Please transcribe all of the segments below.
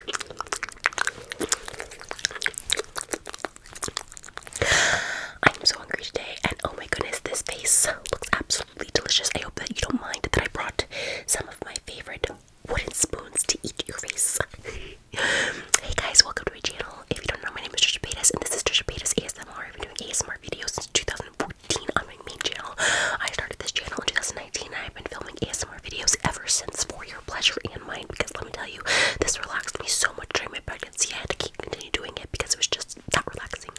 I'm so hungry today, and oh my goodness, this face looks absolutely delicious. I hope that you don't mind that I brought some of my favorite wooden spoons to eat your face. hey guys, welcome to my channel. If you don't know, my name is Trisha Paytas, and this is Trisha Paytas ASMR. I've been doing ASMR videos since 2014 on my main channel. I started this channel in 2019, and I've been filming ASMR videos ever since for your pleasure and mine because let me tell you, this relaxed me so much during my pregnancy. I had to keep continue doing it because it was just that relaxing.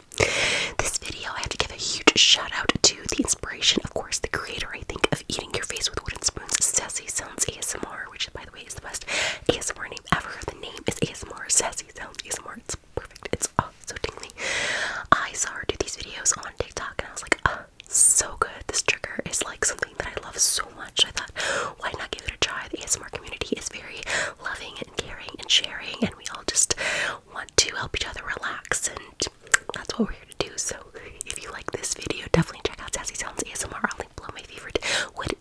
This video, I have to give a huge shout out to the inspiration, of course, the creator, I think, of Eating Your Face with Wooden Spoons, Sassy Sounds ASMR, which, by the way, is the best ASMR name ever. The name is ASMR, Sassy Sounds ASMR. It's perfect. It's oh, so tingly. I saw her do these videos on TikTok and I was like, so good. This trigger is like something that I love so much. I thought, why not give it a try? The ASMR community is very loving and caring and sharing, and we all just want to help each other relax, and that's what we're here to do. So, if you like this video, definitely check out Sassy Sounds ASMR. I'll link below my favorite wood,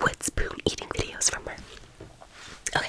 wood spoon eating videos from her. Okay.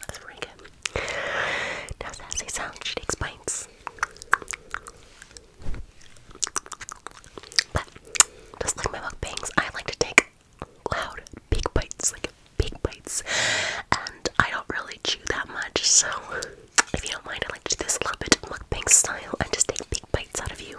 That's pretty good. Now, sassy sound she takes bites, but just like my mukbangs, I like to take loud, big bites, like big bites, and I don't really chew that much. So, if you don't mind, I like to do this little bit mukbang style and just take big bites out of you.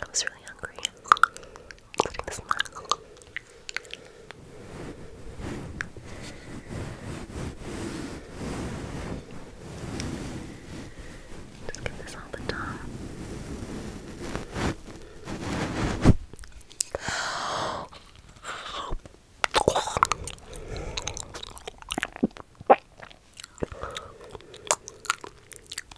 I was really hungry, Just get this on the top. I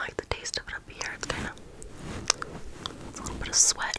like the taste of it up here. It's kind of a little bit of sweat.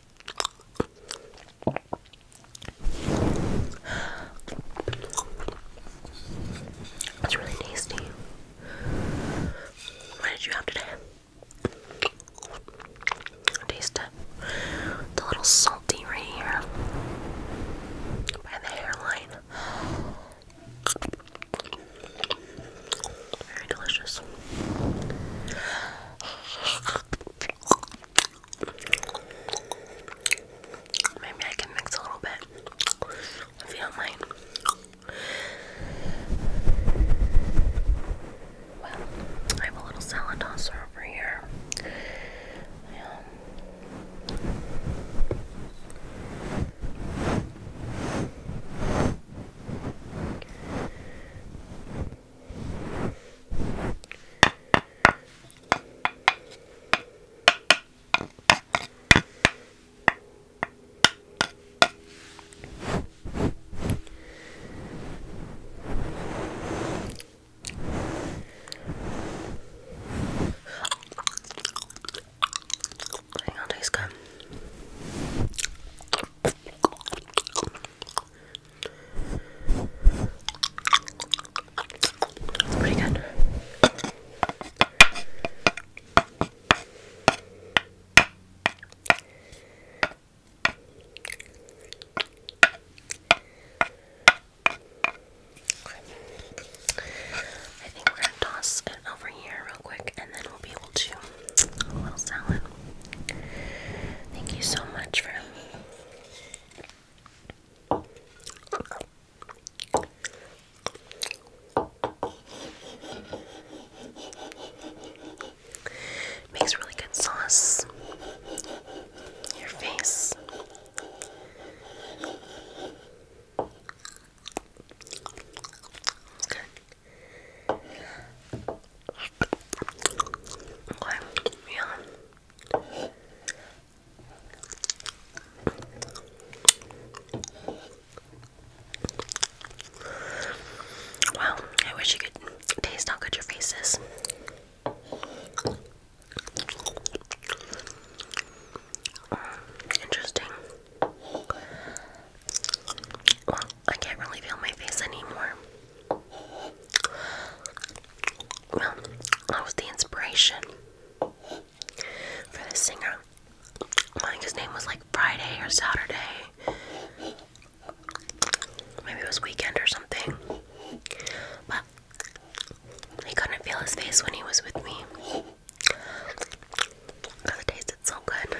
It's really tasty. What did you have today? Taste it. It's little salty right here by the hairline. Very delicious. Maybe I can mix a little bit if you do Well, I have a little salad tosser over here. Um, I think i good pretty good. I think we're gonna toss it over here real quick and then we'll be Thank you so much for. Makes really good sauce. Your face. It's Wow, I wish you could taste how good your face is. Mm, interesting. I can't really feel my face anymore. Well, that was the inspiration for this singer. I think his name was like Friday or Saturday. Maybe it was weekend or something. But I couldn't feel his face when he was with me. it tasted so good.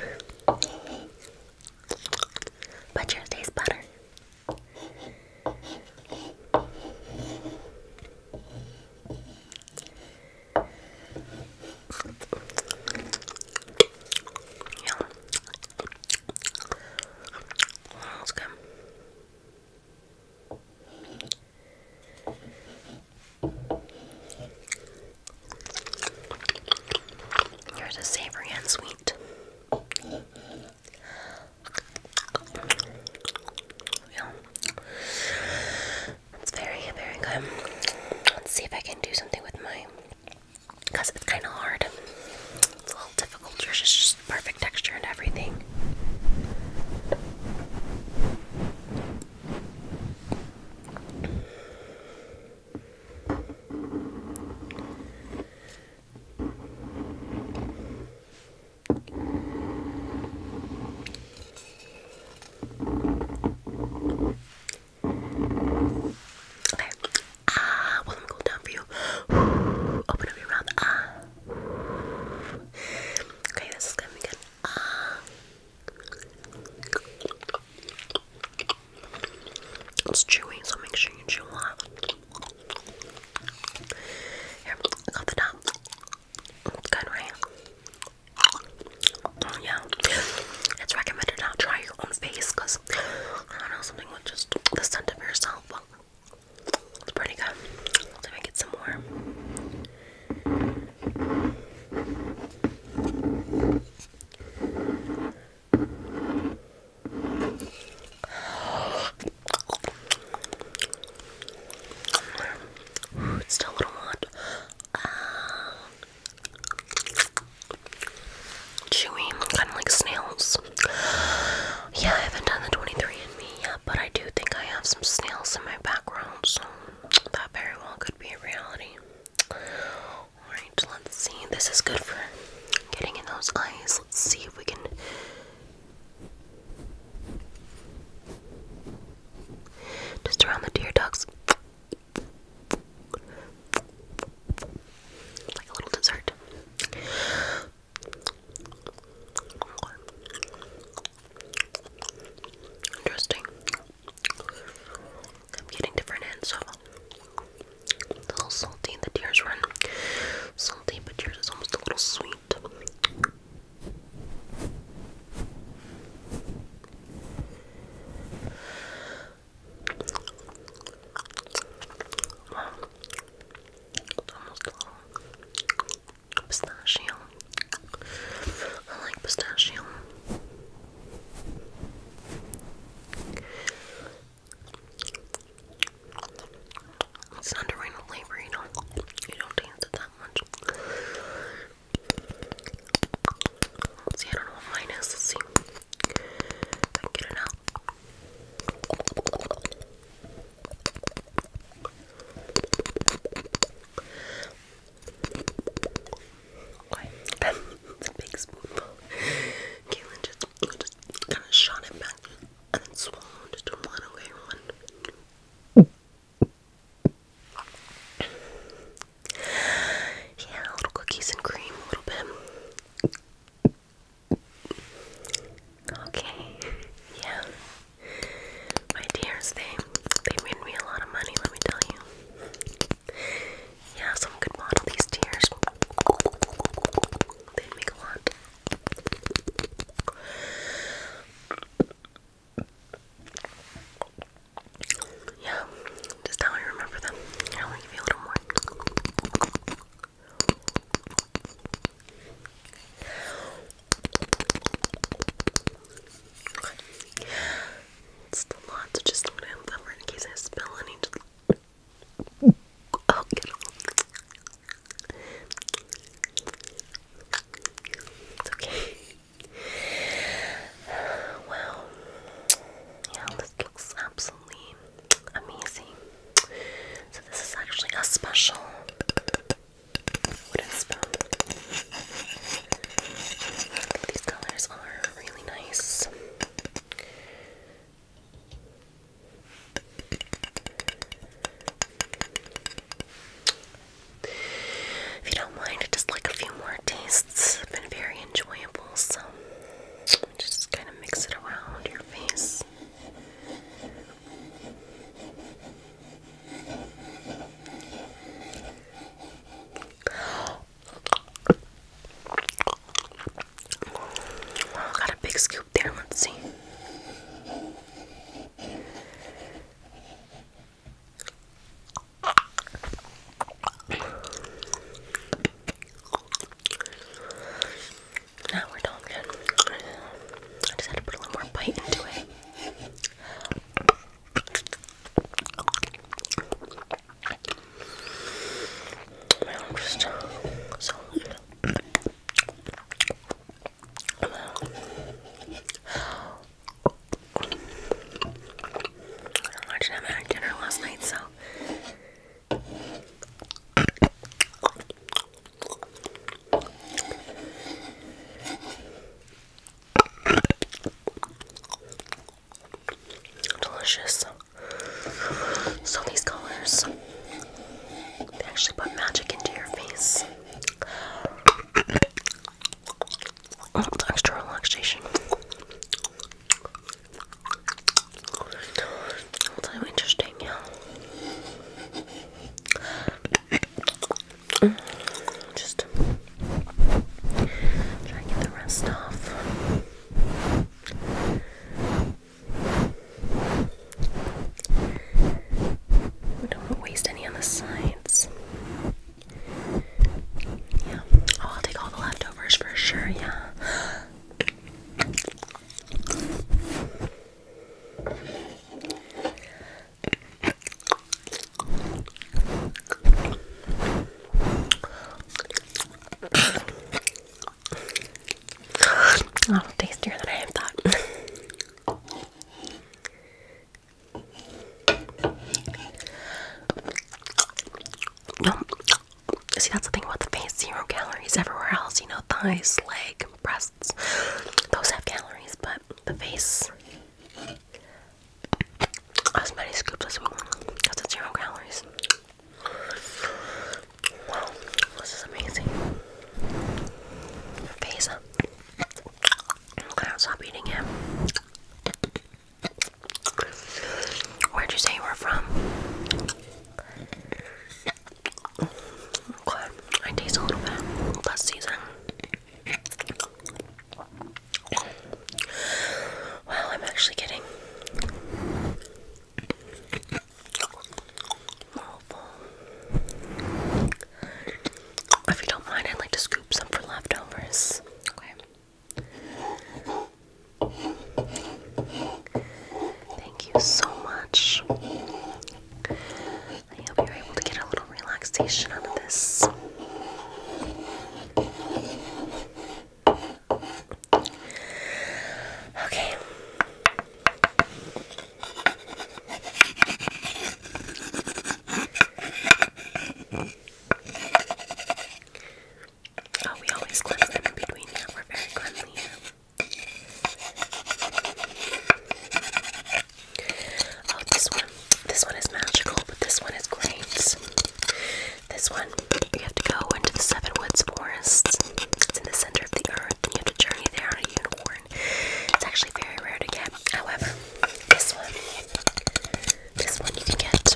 But yours tastes better. Let's go. Here's a savory and sweet. It's very, very good. Let's see if I can do something with my. it's kind of hard. It's a little difficult. There's just, just perfect texture and everything. Okay. Ah, well, let me cool down for you. Open up your mouth. Ah. Okay, this is gonna be good. Ah. It's chewing, so make sure you chew a lot. Here, cut the top. good, right? Oh, yeah. It's recommended not try your own face because I don't know, something with just the scent of yourself. It's pretty good. Let me get some more. Ooh, it's still a little hot. Uh, chewy, kind of like snails. Yeah, I haven't done the 23andMe yet, but I do think I have some snails in my background, so that very well could be a reality. Alright, let's see. This is good for getting in those eyes. Let's see if we can. Just around the deer ducks. Like a little dessert. Interesting. I'm getting different ends, a little salty, and the tears run salty, but yours is almost a little sweet. almost a little pistachio. I like pistachio. It's not a random flavor, you don't, you don't dance it that much. I don't know what mine I can get it a big spoonful. Caitlin just, kind of shot it back and then swallowed it and let away one. Yeah, little cookies and cream, a little bit. Okay, yeah. My dears, they, they made me a lot of money, let me tell you. Yeah, someone could model these tears. They make a lot. Yeah, just how I remember them. I only give you a little more. It's a lot to just look at in case I spill any. Oh, okay. Wow. Yeah, this looks absolutely amazing. So this is actually a special wooden spoon. These colors are really nice. If you don't mind, just like a few more tastes been very enjoyable, so just kind of mix it around your face. I oh, got a big scoop there. Let's see. Now we're done. I just had to put a little more bite into it. My arms are so I watched them at dinner last night, so. Delicious. So these colors, they actually put magic into your face. A little extra So interesting, yeah. Just try to get the rest off. We don't want to waste any on the sides. Yeah. Oh, I'll take all the leftovers for sure, yeah. A little tastier than I thought. See, that's the thing about the face. Zero calories everywhere else. You know, thighs, leg, breasts. Those have calories, but the face. As many scoops as we Because it's zero calories. Wow, this is amazing. Okay, I'm to stop eating it. Where'd you say you were from? I taste a little bit less season. Wow, I'm actually getting if you don't mind, I'd like to scoop some for leftovers. Okay. Thank you so much. I hope you're able to get a little relaxation out of this. Okay. Oh, we always cleanse them in between. Yeah, we're very cleanly Oh, this one. This one is magical, but this one is great. This one, you have to go into the Seven Woods Forests. It's in the center of the earth, and you have to journey there on a unicorn. It's actually very rare to get. However, this one, this one you can get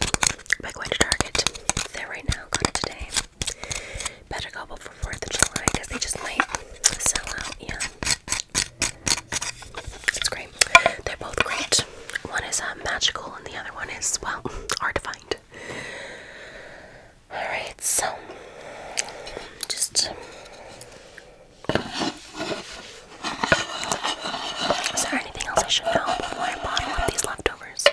by going to Target. It's there right now. Got it today. Better go before Fourth of July because they just might sell out. Yeah, it's great. They're both great. One is um, magical, and the other one is well hard to find. Alright, so just is there anything else I should know before I bottle up these leftovers?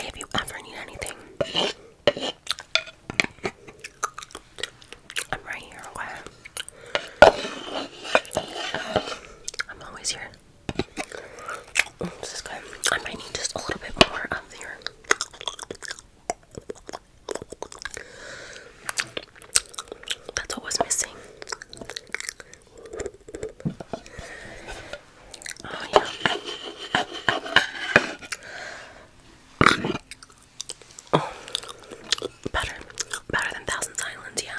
if you ever need anything? I'm right here, I'm always here. this is good. I might need just a little bit more of your. That's what was missing. Oh, yeah. Oh, Better. Better than Thousand Islands, yeah.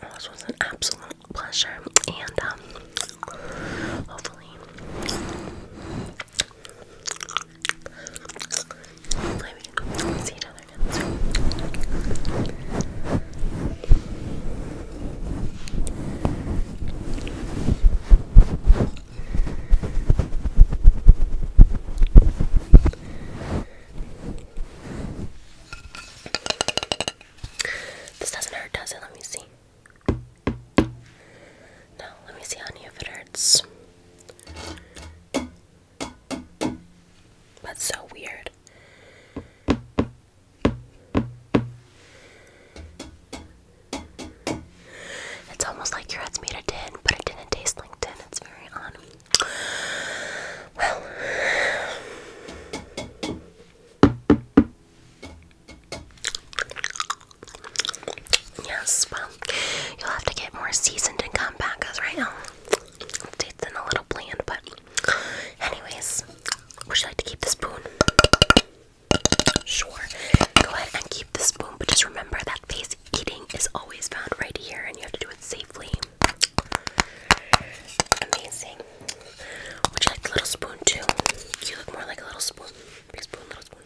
this was an absolute pleasure, and um, hopefully, see each other this doesn't hurt, does it? Let me see. No, let me see, honey, if it hurts. That's so weird. It's almost like your head's made of tin, but it didn't taste like tin. It's very odd. Well, yes, well, you'll have to get more seasoned and come back because right now it's in a little bland, but Anyways, would you like to keep the spoon? Sure. Go ahead and keep the spoon, but just remember that face eating is always found right here and you have to do it safely. Amazing. Would you like the little spoon too? You look more like a little spoon. Big spoon, little spoon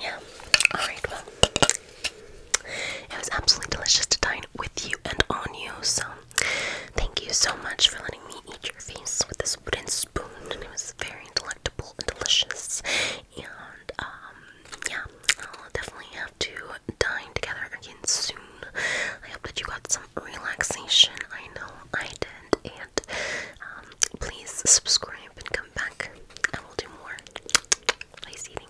yeah. All right. Well, it was absolutely delicious to dine with you and on you. So Thank you so much for letting me eat your face with this wooden spoon, and it was very delectable and delicious. And um, yeah, I'll definitely have to dine together again soon. I hope that you got some relaxation. I know I did. And um, please subscribe and come back. I will do more. Nice eating.